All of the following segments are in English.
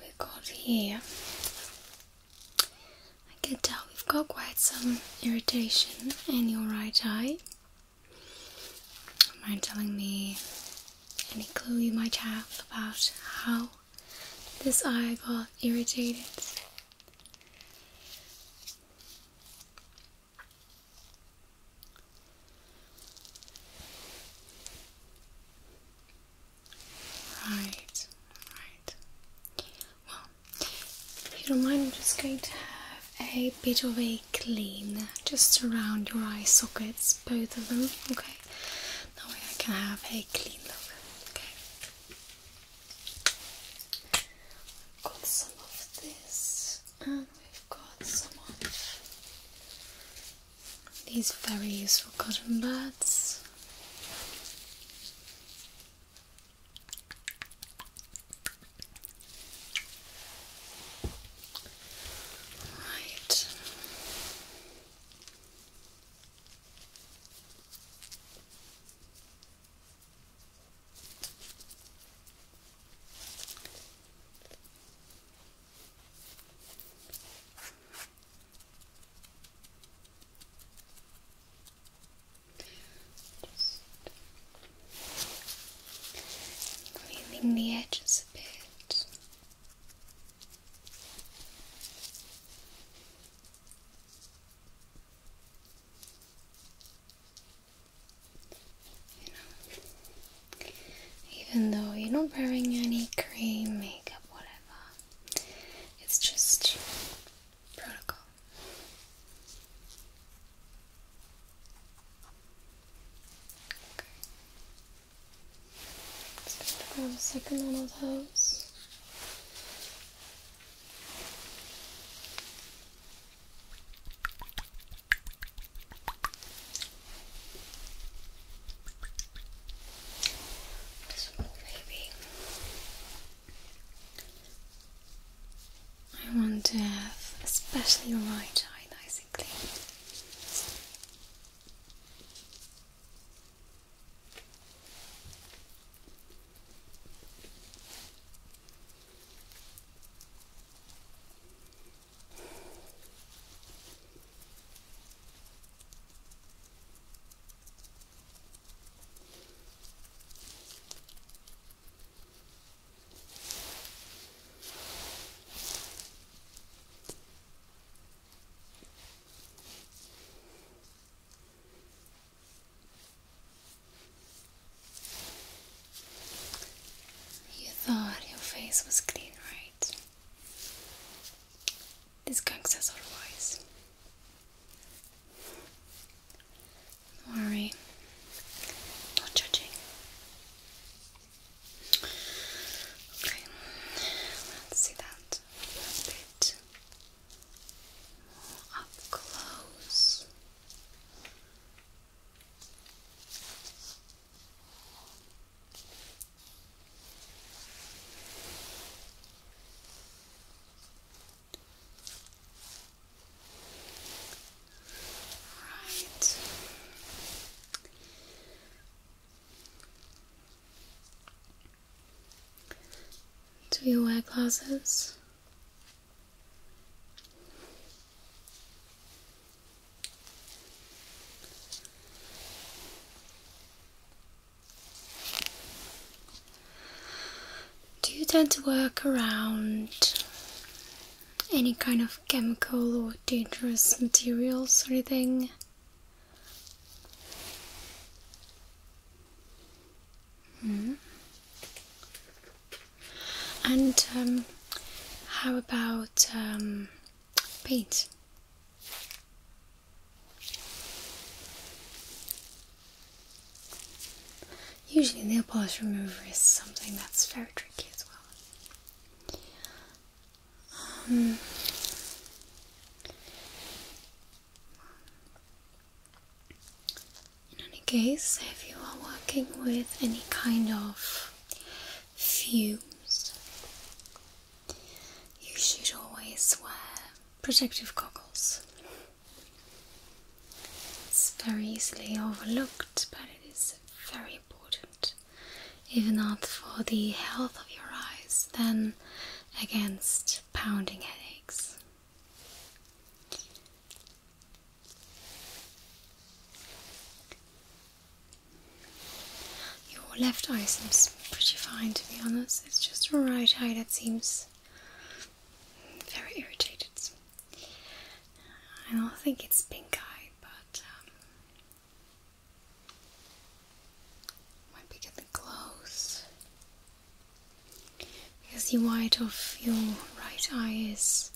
we got here. I can tell we've got quite some irritation in your right eye. Mind telling me any clue you might have about how this eye got irritated? Right, right. Well, if you don't mind, I'm just going to have a bit of a clean just around your eye sockets, both of them, okay? That way I can have a clean look, okay? got some of this, and we've got some of these very useful cotton buds. Right. Just the edges a bit. You know, even though you're not wearing any cream makeup, whatever. It's just protocol. Okay. Let's go grab a second one of I want to have especially your right eye nice and clean. You thought your face was clean, right? This gang says otherwise. Don't worry, not judging. Okay, let's see that a bit more up close. Right. Do you wear glasses? Do you tend to work around any kind of chemical or dangerous materials or anything? Mm. And um, how about um, paint. Usually, nail polish remover is something that's very tricky as well. Um, in any case, if you are working with any kind of fumes, you should always wear protective goggles. It's very easily overlooked, but it is very important, if not for the health of your eyes, then against pounding headaches. Your left eye seems pretty fine to be honest, it's just your right eye that seems very irritated. I don't think it's pink eye, but um, might be getting close. Because the white of your right eye is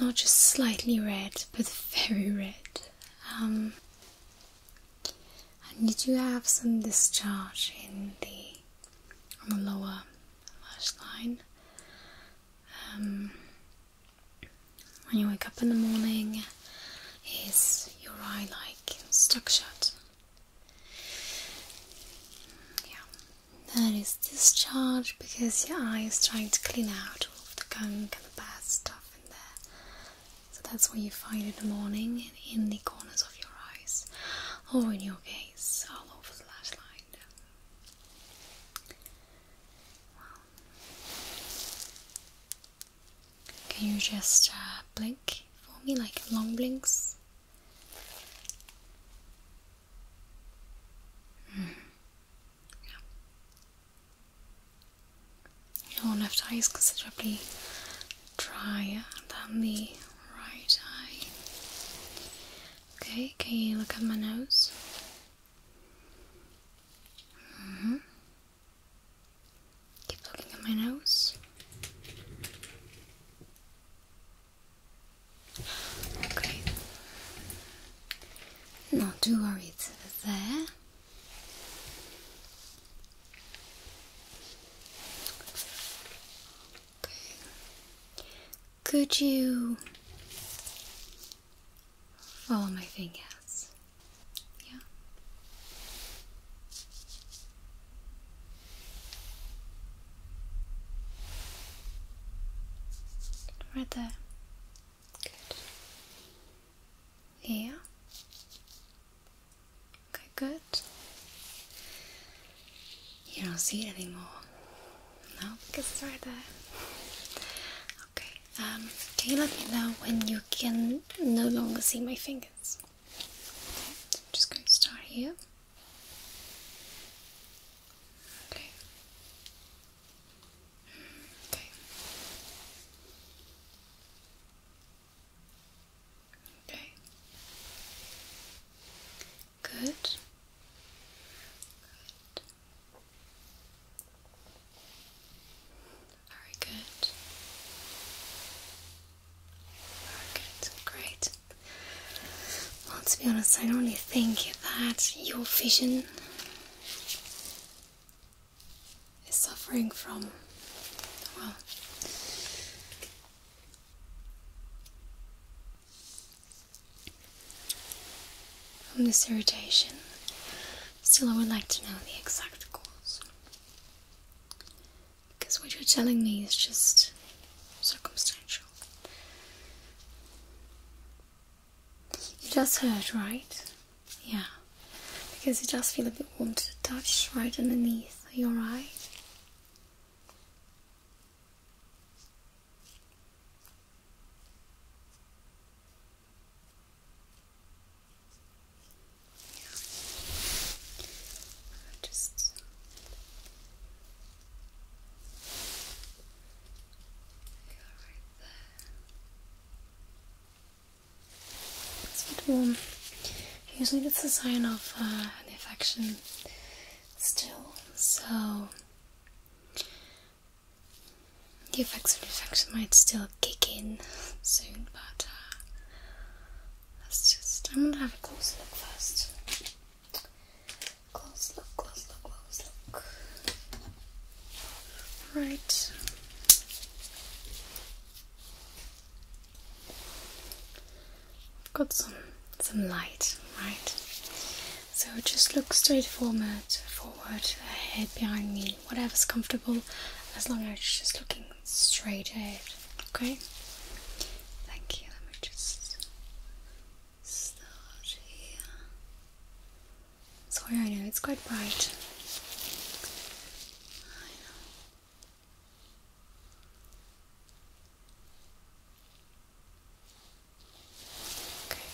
not just slightly red, but very red um, and did you have some discharge in the lower lash line um, when you wake up in the morning is your eye like stuck shut yeah that is discharge because your eye is trying to clean out all the gunk and the bad stuff so that's what you find in the morning, in the corners of your eyes, or in your gaze, all over the lash line. can you just uh, blink for me, like long blinks? Hmm. Your left eye is considerably drier than the right eye. Okay, can you look at my nose? Mm Keep looking at my nose. Okay. do too worried there. Could you follow my fingers? Yeah. Right there. Good. Yeah. Okay, good. You don't see it anymore. No, because it's right there. Okay. Um, can you let me know when you can no longer see my fingers? Okay, I'm just going to start here. Okay. Okay. Okay. Good. Good. Very good. Very good. Great. Well, to be honest, I don't really think that your vision is suffering from, well, from this irritation. Still, I would like to know the exact cause. Because what you're telling me is just circumstantial. You just heard, right? Yeah. Because you just feel a bit warm to the touch right underneath. Are you alright? Yeah. Just go right there. It's a bit warm. Usually that's a sign of uh, an infection still, so the effects of the infection might still kick in soon, but uh, let's just, I'm gonna have a close look first. Close look, close look, close look. Right. I've got some some light, right? So just look straight forward, forward, ahead, behind me, whatever's comfortable, as long as it's just looking straight ahead. Okay. Thank you. Let me just start here. Sorry, I know it's quite bright. Okay.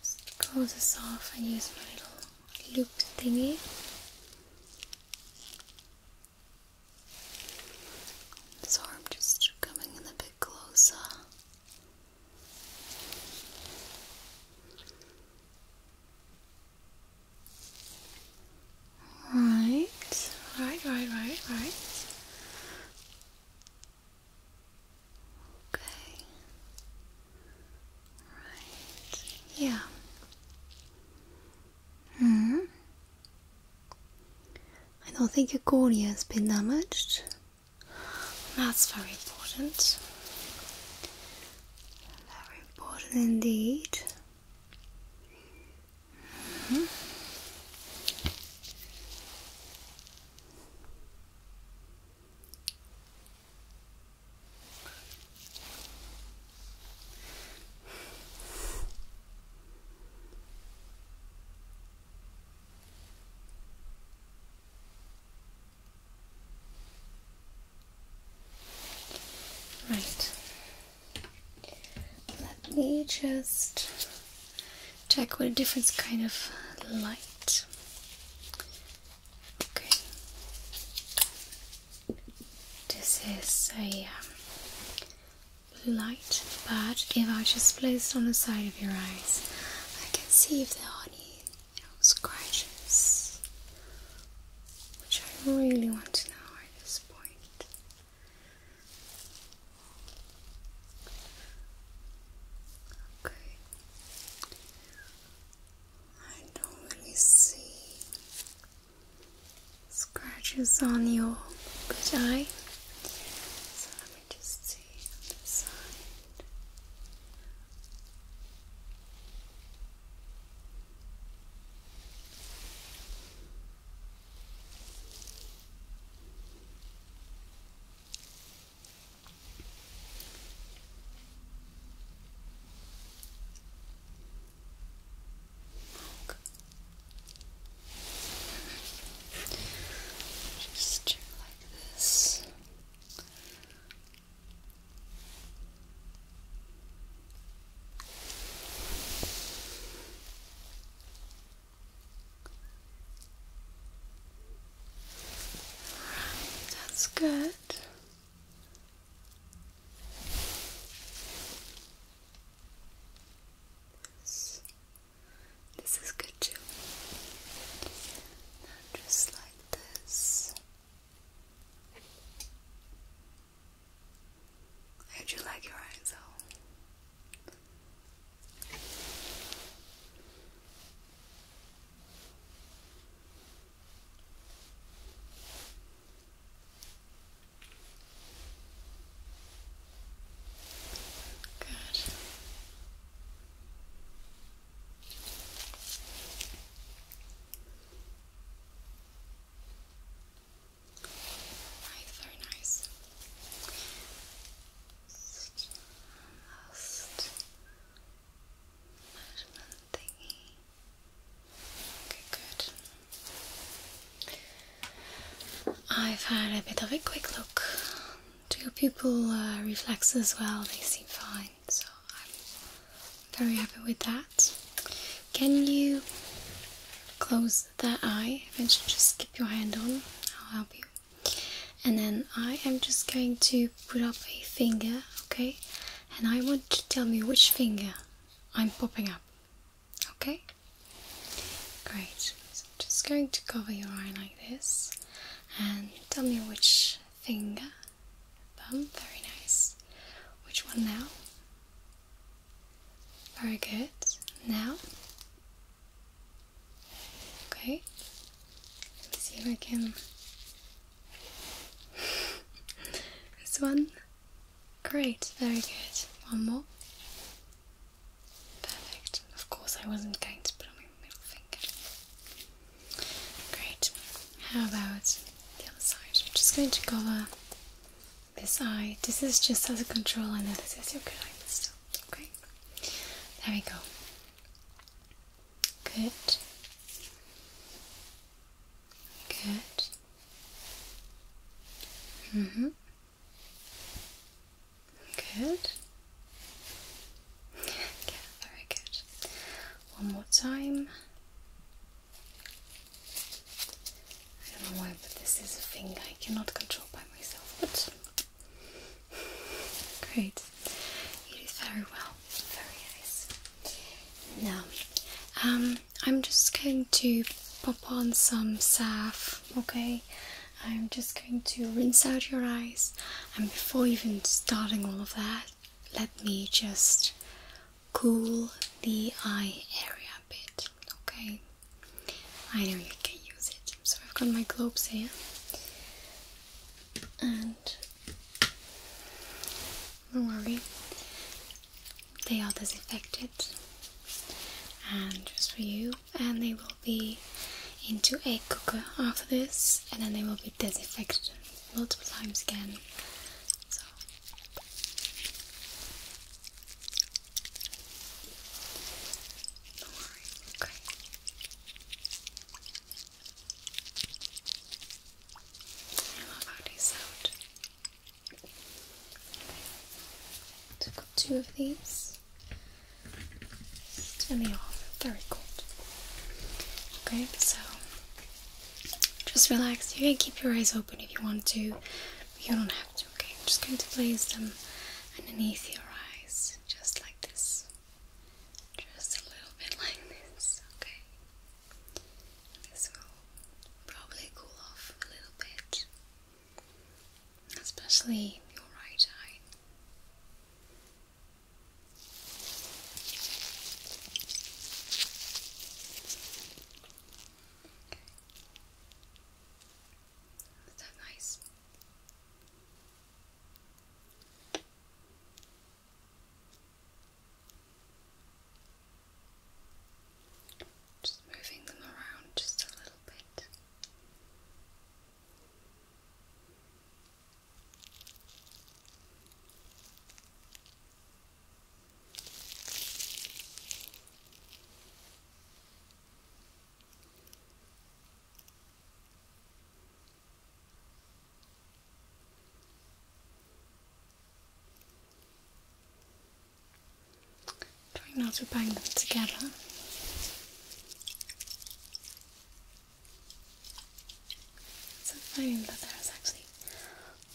Just close this off and use my little loop thingy. So I'm just coming in a bit closer. Right, right, right, right, right. Okay. Right. Yeah. Hmm. I don't think your cornea has been damaged. That's very important. Very important indeed. Mm-hmm. Right. Let me just check what a different kind of light. Okay. This is a blue um, light, but if I just place it on the side of your eyes, I can see if they are any you know, scratches, which I really want to know at this point. Okay. I don't really see scratches on your good eye. So let me just see see on Just do like this that's good. This, is good too. just like this. I do like your eyes though. Good. Right, nice. last measurement thingy. Okay, good. I've had a bit of a quick look. Do your uh, pupil reflexes well? They seem fine so I'm very happy with that. Can you close that eye? Eventually, just keep your hand on, I'll help you. And then I am just going to put up a finger, okay? And I want to tell me which finger I'm popping up, okay? Great. So I'm just going to cover your eye like this and tell me which finger, thumb. Very nice. Which one now? Very good. Now? Okay. see if I can. this one? Great, very good. One more. Perfect. Of course, I wasn't going to put on my middle finger. Great. How about the other side? We're just going to cover this eye. This is just as a control, and this is your good eye still. Okay. There we go. Good. Good. Mhm. Mm Good very good. One more time. I don't know why, but this is a thing I cannot control by myself, but great. it is very well. Very nice. Now, um, I'm just going to pop on some salve, okay? I'm just going to rinse out your eyes, and before even starting all of that, let me just cool the eye area a bit, okay? I know you can use it, so I've got my globes here, and don't worry, they are disinfected and just for you, and they will be into a cooker after this and then they will be disinfected multiple times again. So don't worry, okay. I love how they sound. So two of these. Turn me off. Very cold. Okay, so just relax. You can keep your eyes open if you want to, you don't have to. Okay, I'm just going to place them underneath your eyes, just like this. Just a little bit like this. Okay, this will probably cool off a little bit, especially your right eye. Is nice? Just moving them around just a little bit. Trying not to bang them together. Some foam, but there is actually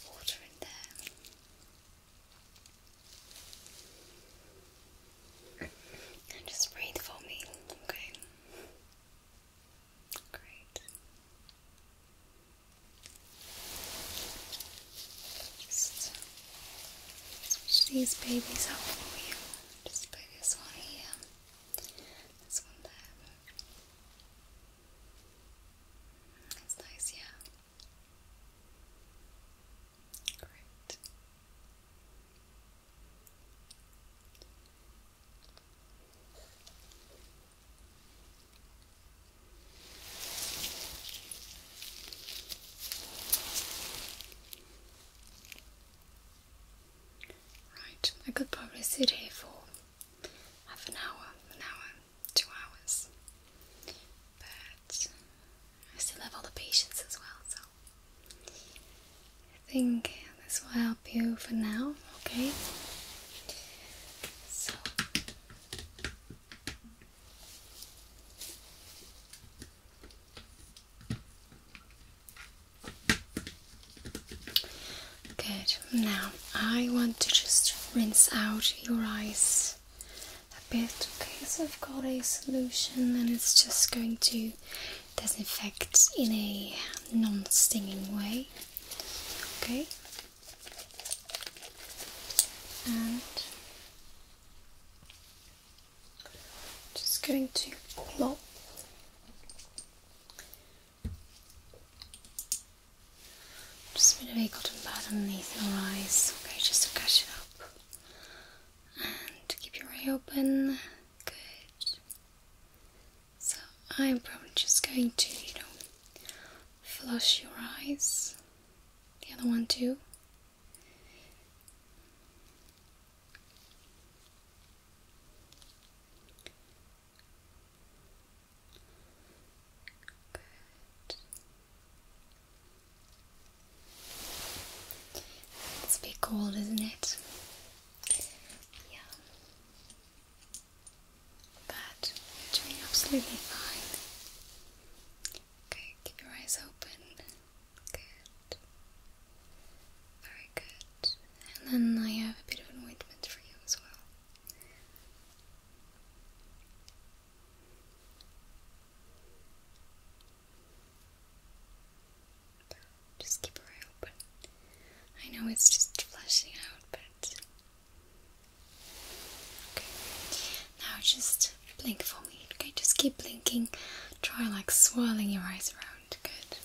water in there. And just breathe for me, okay? Great. Just these babies up for you. Just put this one here. This one there. That's nice, yeah. Great. Right, I could probably sit here for half an hour, an hour, two hours. But I still have all the patience as well, so I think this will help you for now, okay? So Good. Now I want to just rinse out your eyes a bit. because I've got a solution and it's just going to disinfect in a non-stinging way. Okay. And just going to plop just a bit of a cotton pad underneath your eyes, okay, just to catch it up. And keep your eye open. Good. So I'm probably just going to, you know, flush your eyes. The other one too. It's a bit cold, isn't it? Yeah. But doing absolutely fine. Okay, keep your eyes open. Good. Very good. And then I have a bit of anointment for you as well. Just keep her eye open. I know it's just flashing out, but. Okay. Now just blink for me, okay? Just keep blinking. Try like swirling your eyes around. Good.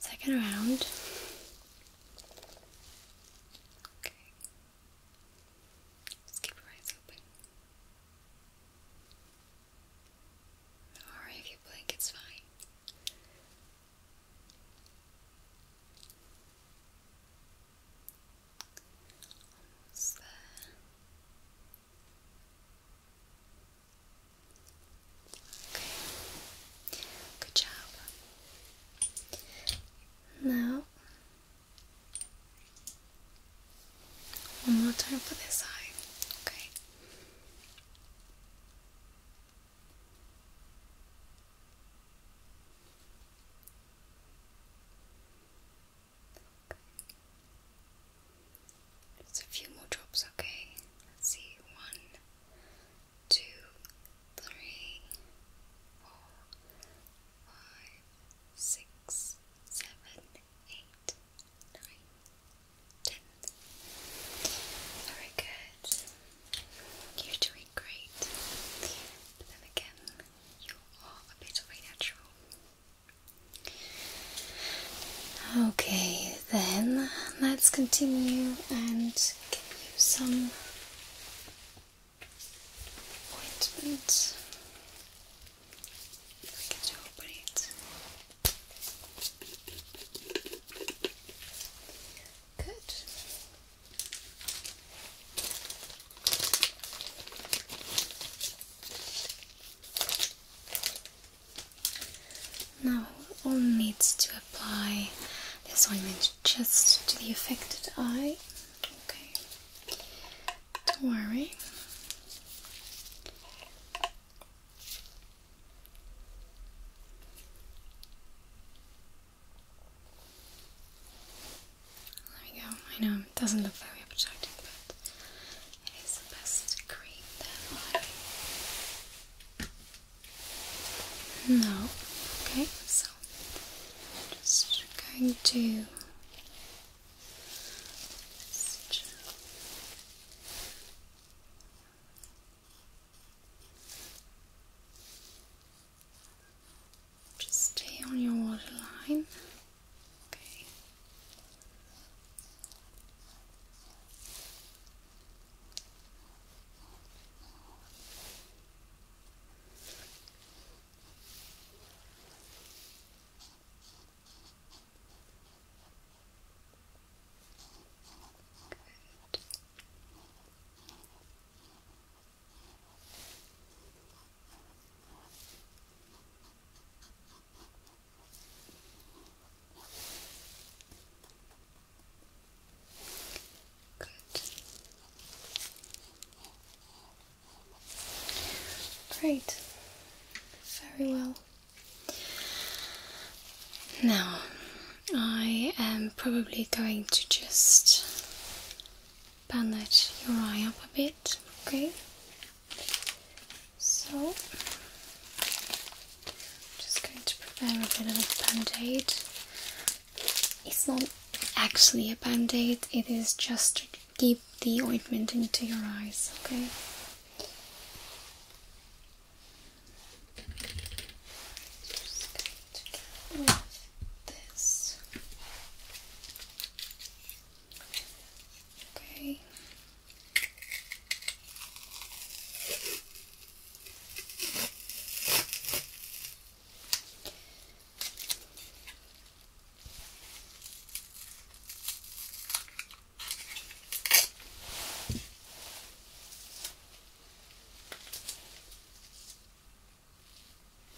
Second round. Okay. keep your eyes open. Or if you blink, it's fine. Okay. Good job. Now, one more time for this eye. Okay. Okay. Just a few more drops, okay? see. One, two, three, four, five, six, seven, eight, nine, ten. Very good. You're doing great. But then again, Okay, then let's continue and give you some appointments. If I open it. Good. Now all needs to apply this ointment just to the affected eye. Okay. Don't worry. There we go. I know it doesn't look very appetizing, but it is the best cream that I know. Okay, so I'm just going to just just stay on your waterline. Okay. Good. Great. Very well. Now, I am probably going to just bandage your eye up a bit, okay? So, I'm just going to prepare a bit of a band aid. It's not actually a band aid, it is just to keep the ointment into your eyes, okay? this. Okay. Okay.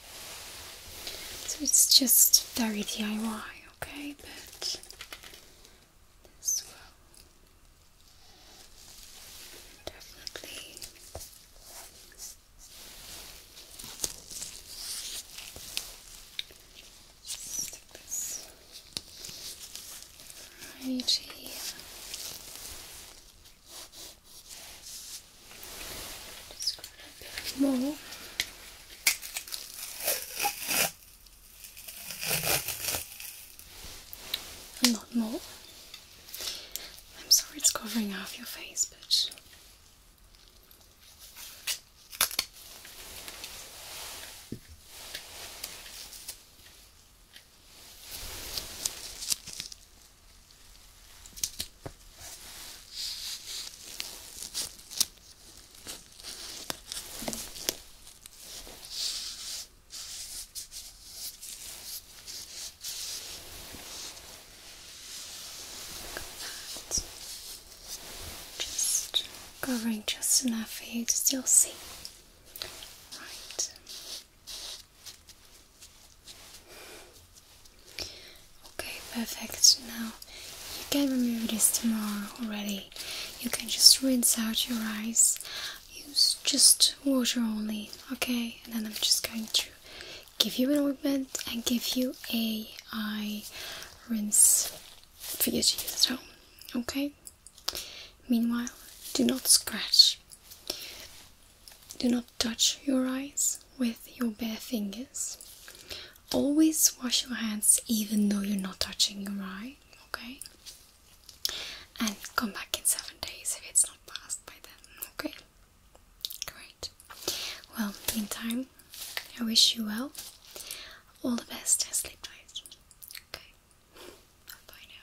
So it's just very DIY, okay? But this will definitely stick this right here. Just a bit more. A lot more. I'm sorry it's covering half your face, but just covering just enough for you to still see. Right. Okay, perfect. Now you can remove this tomorrow already. You can just rinse out your eyes. Use just water only, okay? And then I'm just going to give you an ointment and give you a eye rinse for you to use at home, okay? Meanwhile, do not scratch. Do not touch your eyes with your bare fingers. Always wash your hands even though you're not touching your eye, okay? And come back in seven days if it's not passed by then, okay? Great. Well, meantime, I wish you well. All the best I sleep tight. Okay. Bye, -bye now.